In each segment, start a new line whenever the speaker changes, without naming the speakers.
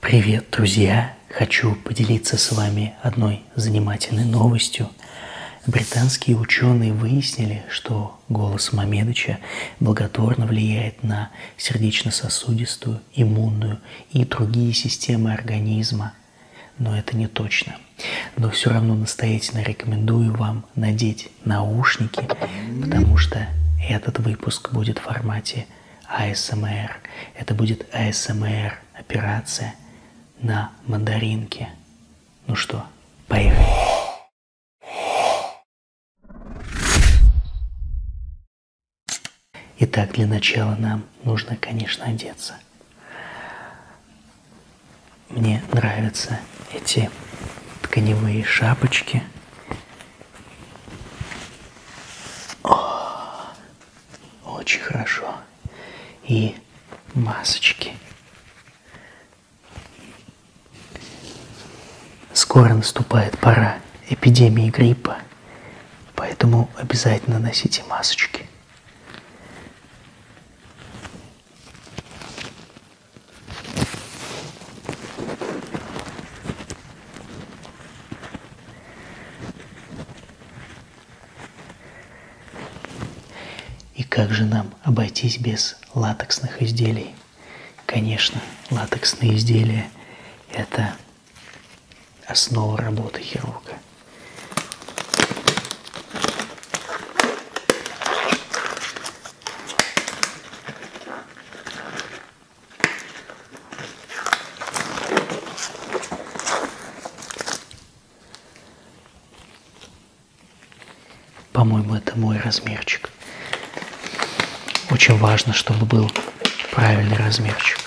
Привет, друзья! Хочу поделиться с вами одной занимательной новостью. Британские ученые выяснили, что голос Мамедыча благотворно влияет на сердечно-сосудистую, иммунную и другие системы организма. Но это не точно. Но все равно настоятельно рекомендую вам надеть наушники, потому что этот выпуск будет в формате АСМР. Это будет АСМР операция на мандаринке. Ну что, поехали. Итак, для начала нам нужно, конечно, одеться. Мне нравятся эти тканевые шапочки. О, очень хорошо. И масочки. Скоро наступает пора эпидемии гриппа, поэтому обязательно носите масочки. И как же нам обойтись без латексных изделий? Конечно, латексные изделия – это основа работы хирурга. По-моему, это мой размерчик. Очень важно, чтобы был правильный размерчик.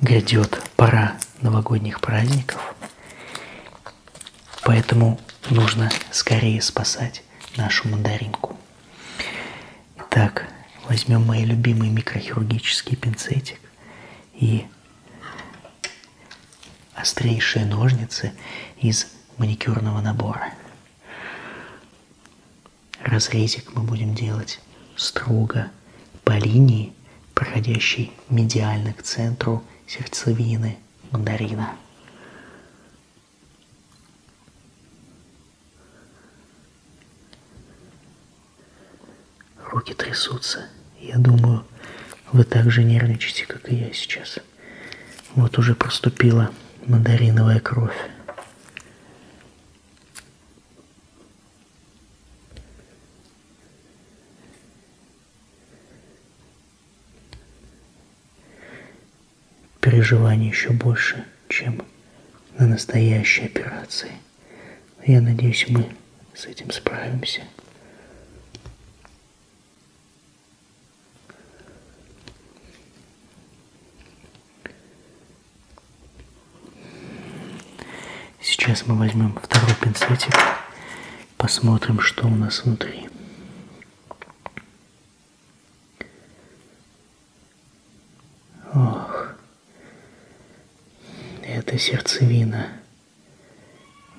Грядет пора новогодних праздников, поэтому нужно скорее спасать нашу мандаринку. Итак, возьмем мой любимый микрохирургический пинцетик и острейшие ножницы из маникюрного набора. Разрезик мы будем делать строго по линии, проходящей медиально к центру сердцевины мандарина. Руки трясутся. Я думаю, вы так же нервничаете, как и я сейчас. Вот уже проступила мандариновая кровь. Переживаний еще больше, чем на настоящей операции. Я надеюсь, мы с этим справимся. Сейчас мы возьмем второй пинцетик, посмотрим, что у нас внутри. Ох, это сердцевина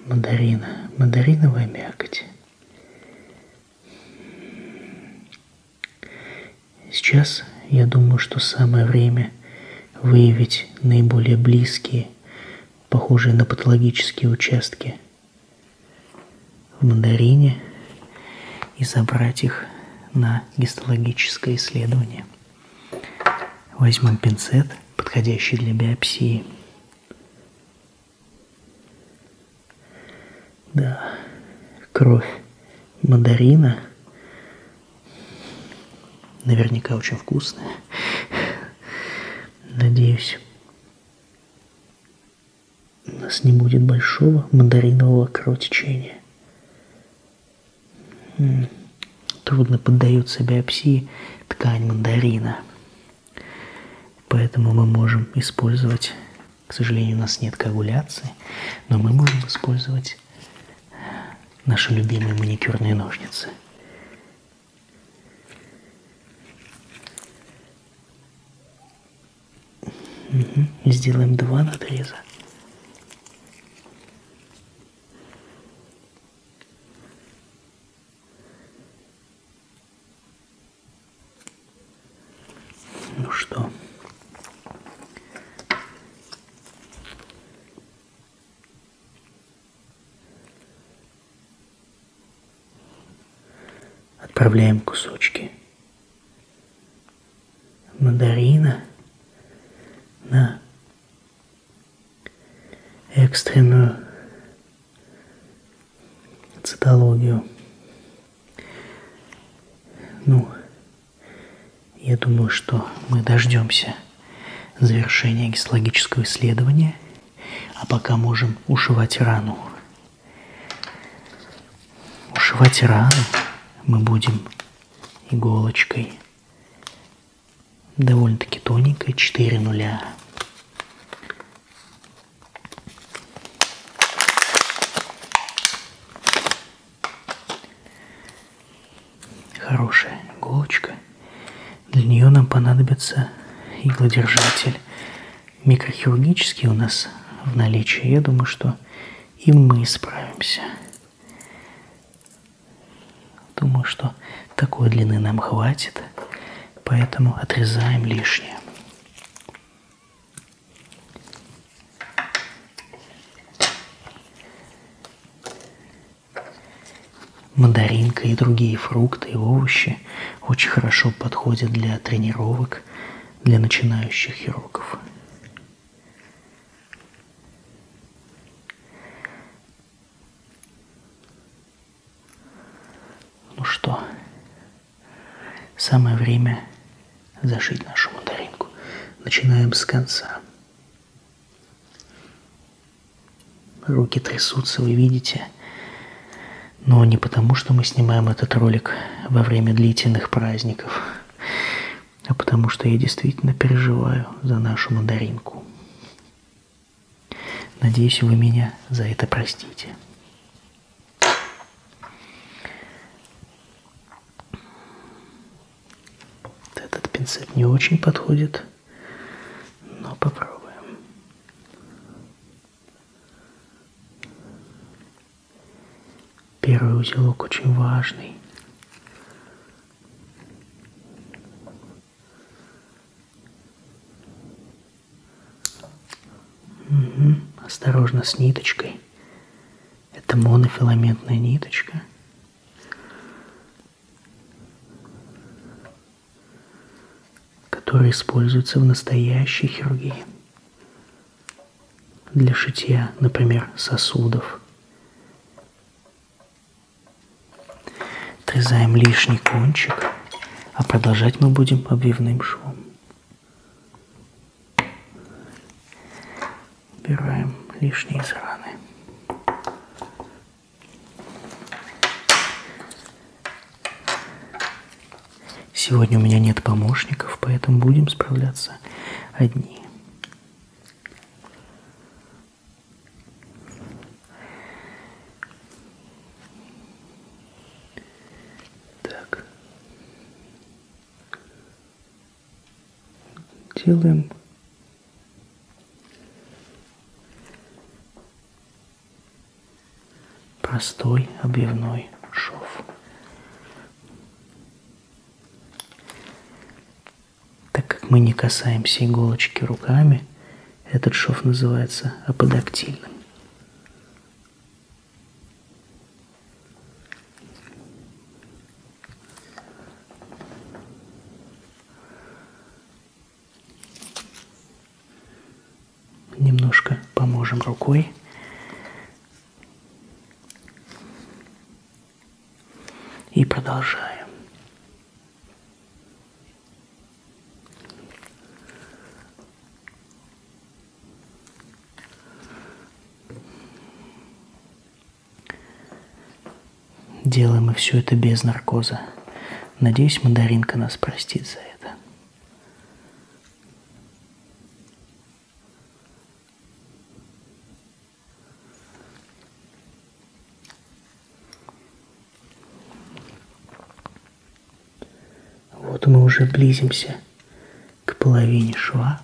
мандарина, мандариновая мякоть. Сейчас я думаю, что самое время выявить наиболее близкие, похожие на патологические участки в мандарине и забрать их на гистологическое исследование. Возьмем пинцет, подходящий для биопсии. Да, кровь мандарина наверняка очень вкусная. Надеюсь, у нас не будет большого мандаринового кровотечения. Трудно поддаются биопсии ткань мандарина. Поэтому мы можем использовать, к сожалению, у нас нет коагуляции, но мы можем использовать наши любимые маникюрные ножницы. Угу. Сделаем два надреза. Ну что? Отправляем кусочки мандарина на экстренную цитологию. Ну, я думаю, что мы дождемся завершения гистологического исследования, а пока можем ушивать рану. Ушивать рану мы будем иголочкой довольно-таки тоненькой, 4 нуля. Хорошая иголочка. Для нее нам понадобится иглодержатель. Микрохирургический у нас в наличии. Я думаю, что им мы справимся. Думаю, что такой длины нам хватит, поэтому отрезаем лишнее. Мандаринка и другие фрукты и овощи очень хорошо подходят для тренировок для начинающих хирургов. Ну что, самое время зашить нашу мандаринку. Начинаем с конца. Руки трясутся, вы видите. Но не потому, что мы снимаем этот ролик во время длительных праздников, а потому что я действительно переживаю за нашу мандаринку. Надеюсь, вы меня за это простите. Этот пинцет не очень подходит, но попробуем. Первый узелок очень важный. Угу. Осторожно с ниточкой. Это монофиламентная ниточка. которая используется в настоящей хирургии. Для шитья, например, сосудов отрезаем лишний кончик, а продолжать мы будем обвивным швом. Убираем лишние израны. Сегодня у меня нет помощников, поэтому будем справляться одни. Так. Делаем простой объявной шов. Так как мы не касаемся иголочки руками, этот шов называется аподактильным. Немножко поможем рукой. И продолжаем. Делаем мы все это без наркоза. Надеюсь, мандаринка нас простит за это. Вот мы уже близимся к половине шва.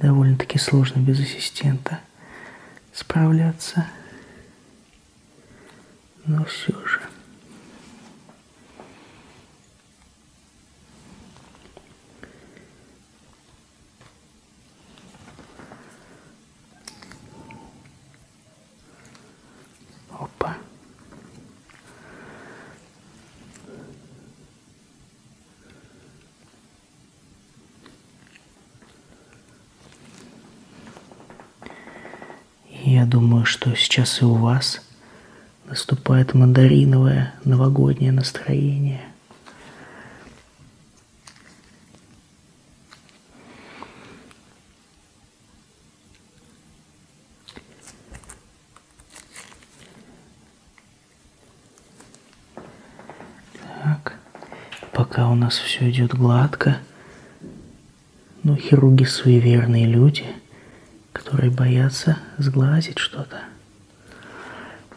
Довольно-таки сложно без ассистента справляться. Но все же. Опа. И я думаю, что сейчас и у вас наступает мандариновое новогоднее настроение – так, пока у нас все идет гладко, но ну, хирурги суеверные люди, которые боятся сглазить что-то.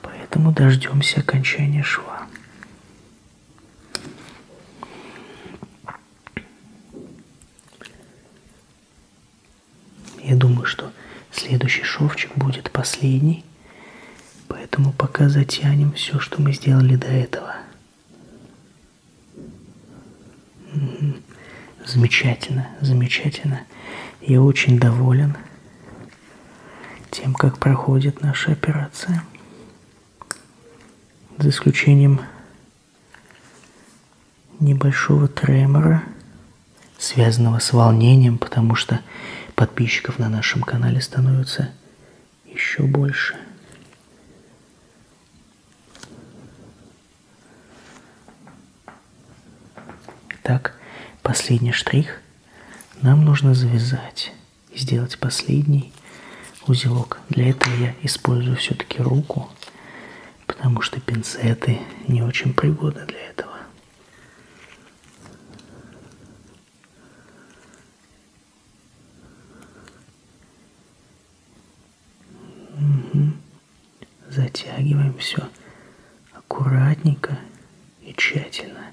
Поэтому дождемся окончания шва. Я думаю, что следующий шовчик будет последний, поэтому пока затянем все, что мы сделали до этого. Замечательно, замечательно. Я очень доволен тем, как проходит наша операция. За исключением небольшого тремора, связанного с волнением, потому что подписчиков на нашем канале становится еще больше. Итак, последний штрих. Нам нужно завязать и сделать последний узелок. Для этого я использую все-таки руку, потому что пинцеты не очень пригодны для этого. Угу. Затягиваем все аккуратненько и тщательно.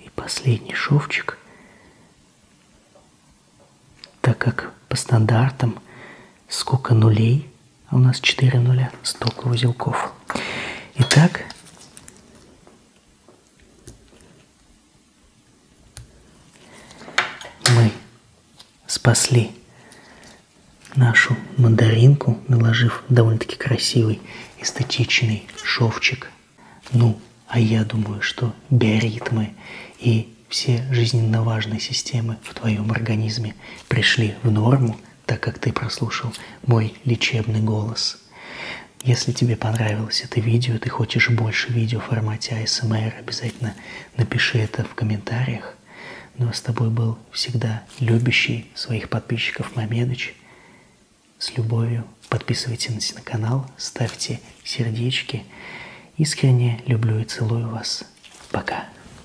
И последний шовчик, так как по стандартам сколько нулей – а у нас 4 нуля, столько узелков. Итак, мы спасли нашу мандаринку, наложив довольно-таки красивый эстетичный шовчик. Ну, а я думаю, что биоритмы и все жизненно важные системы в твоем организме пришли в норму – так как ты прослушал мой лечебный голос. Если тебе понравилось это видео, ты хочешь больше видео в формате ASMR, а обязательно напиши это в комментариях. Ну а с тобой был всегда любящий своих подписчиков Мамедыч. С любовью подписывайтесь на канал, ставьте сердечки. Искренне люблю и целую вас. Пока.